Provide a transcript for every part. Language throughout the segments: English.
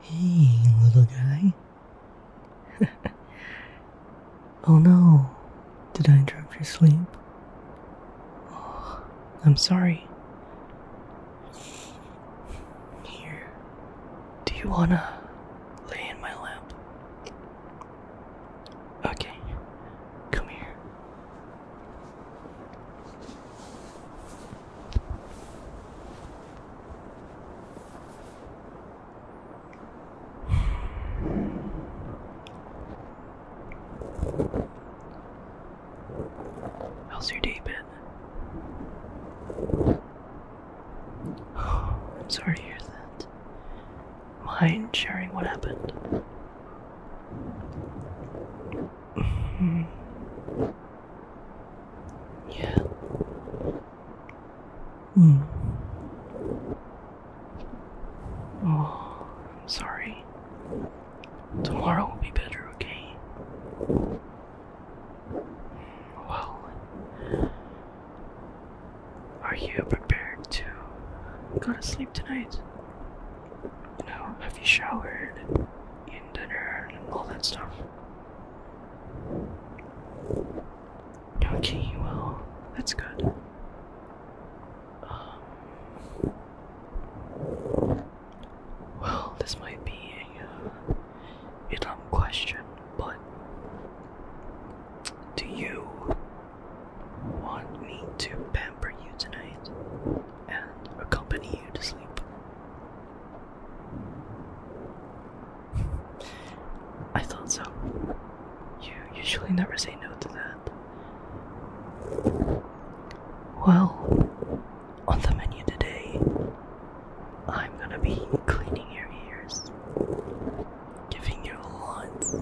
Hey, little guy. oh no, did I interrupt your sleep? Oh, I'm sorry. Here, do you wanna lay in my lap? Okay, come here. How's I'm sorry to hear that. Mind sharing what happened? yeah. Mm. Oh, I'm sorry. Tomorrow will be better, okay? Well, are you prepared to go to sleep tonight? You have you showered? dinner and all that stuff. Okay, well, that's good. Um, well, this might be a, uh, a dumb question, but do you want me to pamper you tonight and accompany you to sleep? I thought so. You usually never say no to that. Well, on the menu today, I'm gonna be cleaning your ears, giving you lots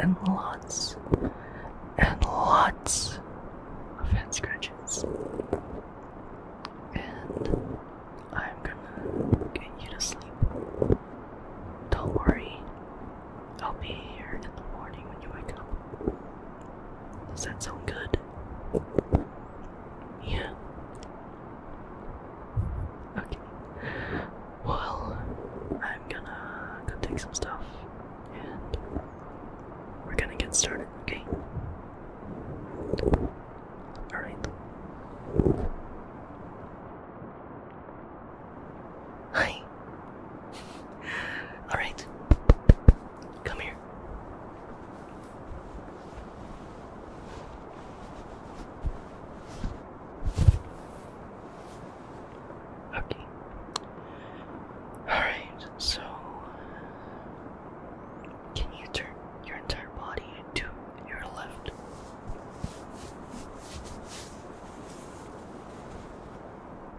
and lots and lots of head scratches. And I'm gonna get you to sleep. Don't worry, I'll be here in the morning when you wake up. Does that sound good? Yeah. Okay. Well, I'm gonna go take some stuff and we're gonna get started, okay? Alright. Hi. Alright. Come here. Okay. Alright, so can you turn your entire body to your left?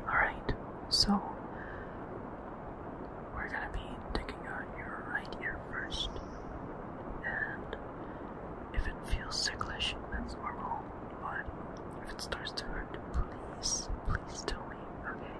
Alright, so we're gonna be taking out your right ear first, and if it feels sicklish, that's normal. But if it starts to hurt, please, please tell me, okay?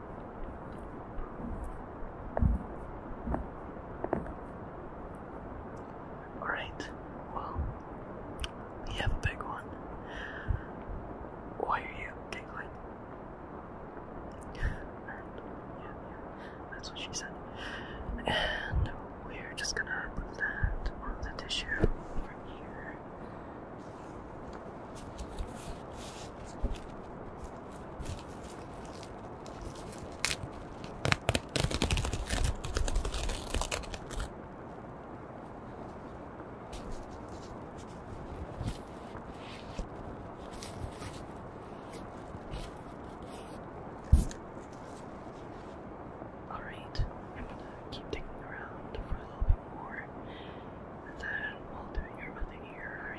Alright, well, you have a big one. Why are you giggling? that's what she said. And we're just gonna put that on the tissue over here. Alright, I'm gonna keep digging around for a little bit more and then we'll do your other ear,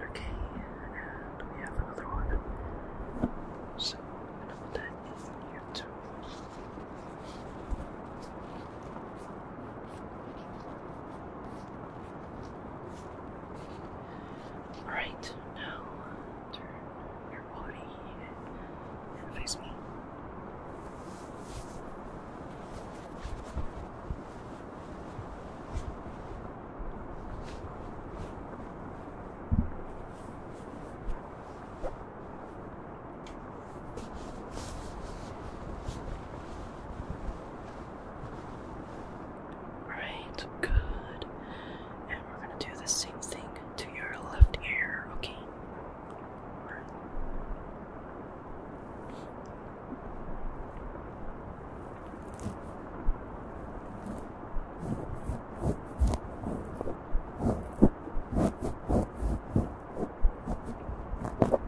Okay, and we have another one. So I'm gonna put that in here too. Alright, now turn your body and face me. Alright, good. And we're gonna do the same thing to your left ear, okay?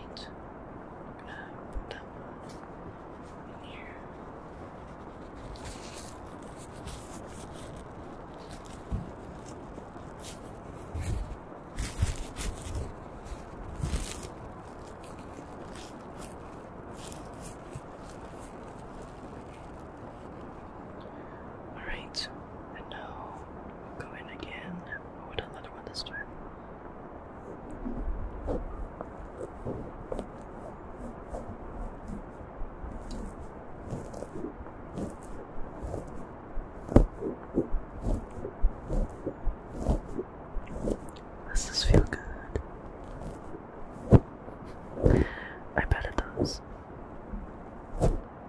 right. I'm gonna put that in here. All right, and now we'll go in again. Oh, another one this time. Does this feel good? I bet it does.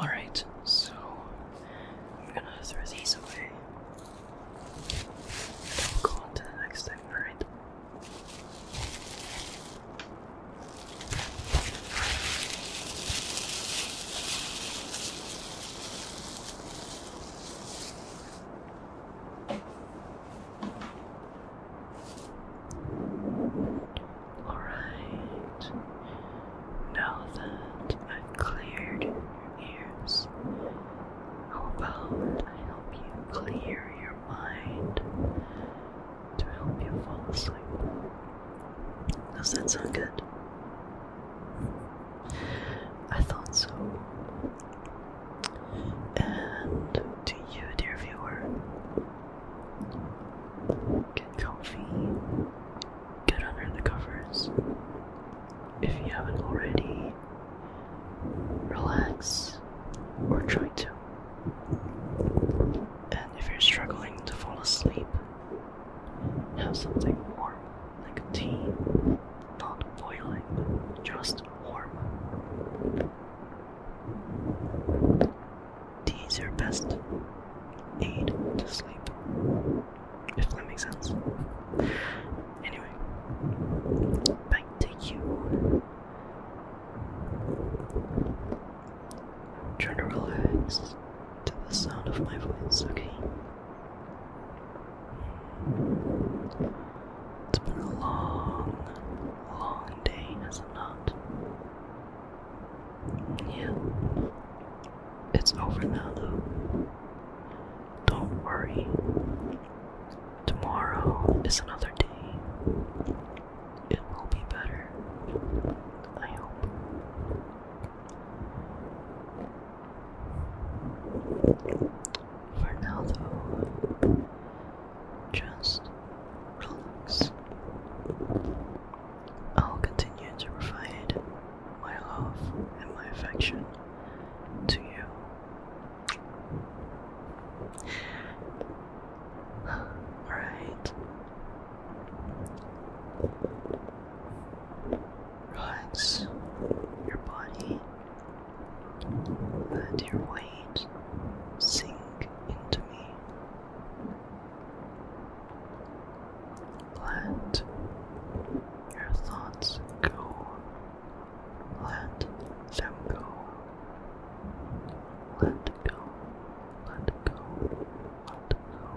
All right, so I'm gonna throw these away. And we'll go on to the next thing, alright? Alright, now that I've cleared your ears, how about I help you clear your mind to help you fall asleep? Does that sound good? I thought so. And to you, dear viewer, get comfy, get under the covers if you haven't already. Relax or try to. And if you're struggling to fall asleep, have something warm like tea, not boiling, just warm. Tea is your best aid to sleep, if that makes sense. Anyway, back to you. Try to relax to the sound of my voice, okay? It's been a long, long day, has it not? Yeah. It's over now, though. Don't worry. Tomorrow is another day. It will be better. I hope. For now, though, just relax. I'll continue to provide my love and my affection to you. Alright. relax your body. Let your weight sink into me. Let your thoughts go. Let them go. Let go. Let go. Let go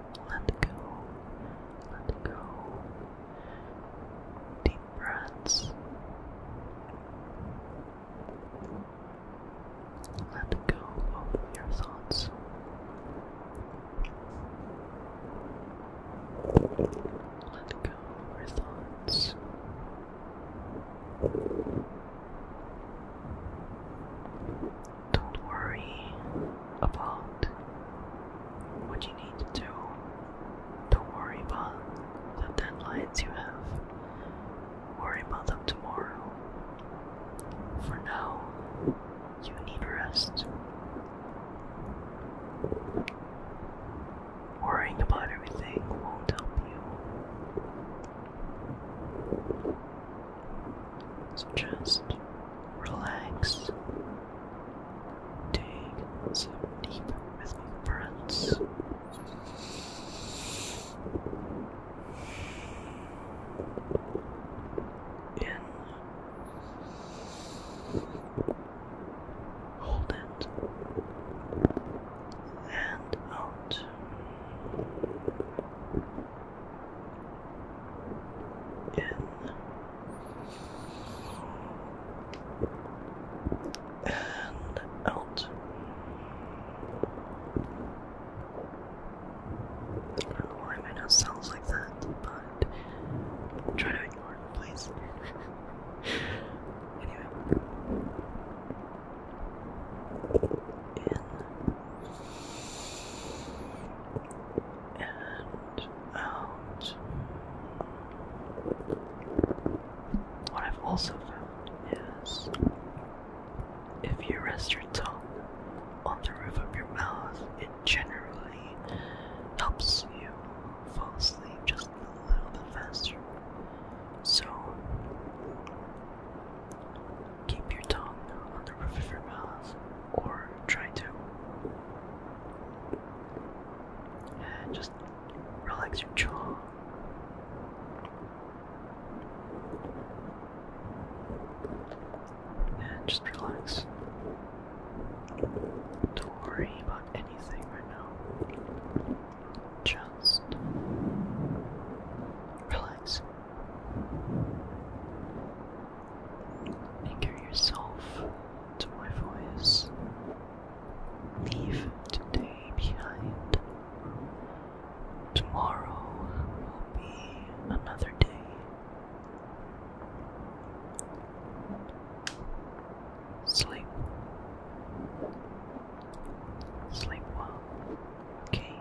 Let go. Let go. Deep breaths. Let go of your thoughts. Let go of your thoughts. Don't worry about what you need to do. Don't worry about the deadlines you have. Worry about them tomorrow. For now, you need rest. Worrying about everything won't help you. So just relax. Take some deep rhythmic breaths. In. Hold it. And out in and out. Or I know it sounds like that, but try to ignore it, please. anyway. In and out. What I've also found is if you rest your tongue on the roof of your mouth, it generally helps you fall asleep just a little bit faster. So, Keep your tongue on the roof of your mouth, or try to. just relax your jaw. And just relax. Don't worry about anything right now. Just relax. Anchor yourself to my voice. Leave today behind. Tomorrow will be another day. Sleep. Sleep well. Okay.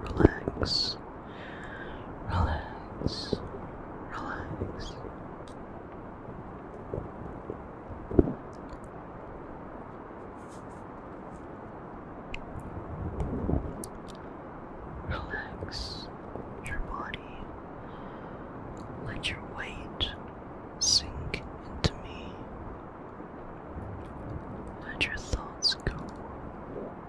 Relax, relax, relax. Relax your body. Let your weight sink into me. Let your thoughts go.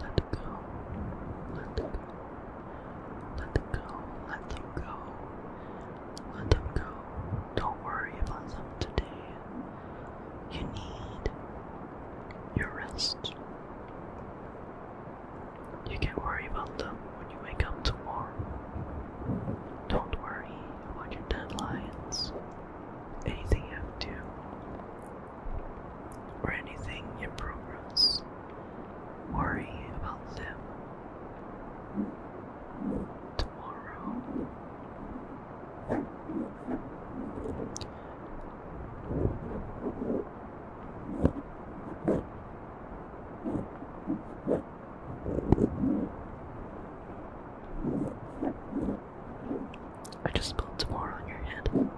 Let them go. Let them. Let go. Let them go. Let them go. Don't worry about them today. You need your rest. You can worry about them when you wake up tomorrow. Don't worry about your deadlines. Anything you have to do, or anything in progress. Worry about them tomorrow. I just spilled tomorrow on your head.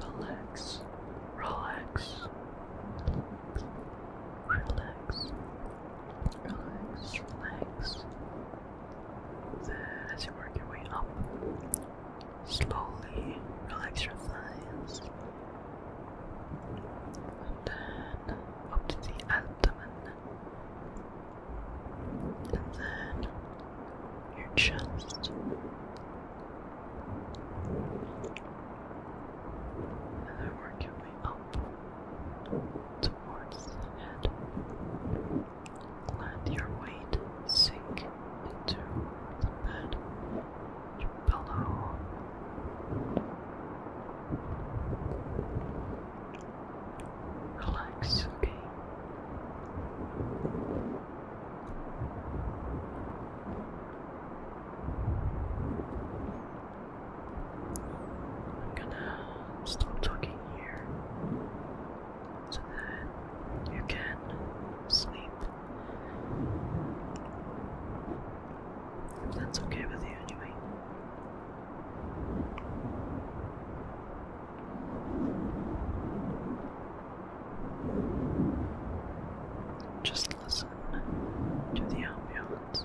relax, relax, relax, relax, relax, relax. Then, as you work your way up, slowly relax your thighs, and then up to the abdomen and then your chest, and then your way up towards the head. Let your weight sink into the bed, your pillow. Relax, okay? I'm gonna stop talking here so that you can sleep. If that's okay with you, anyway. Just listen to the ambience.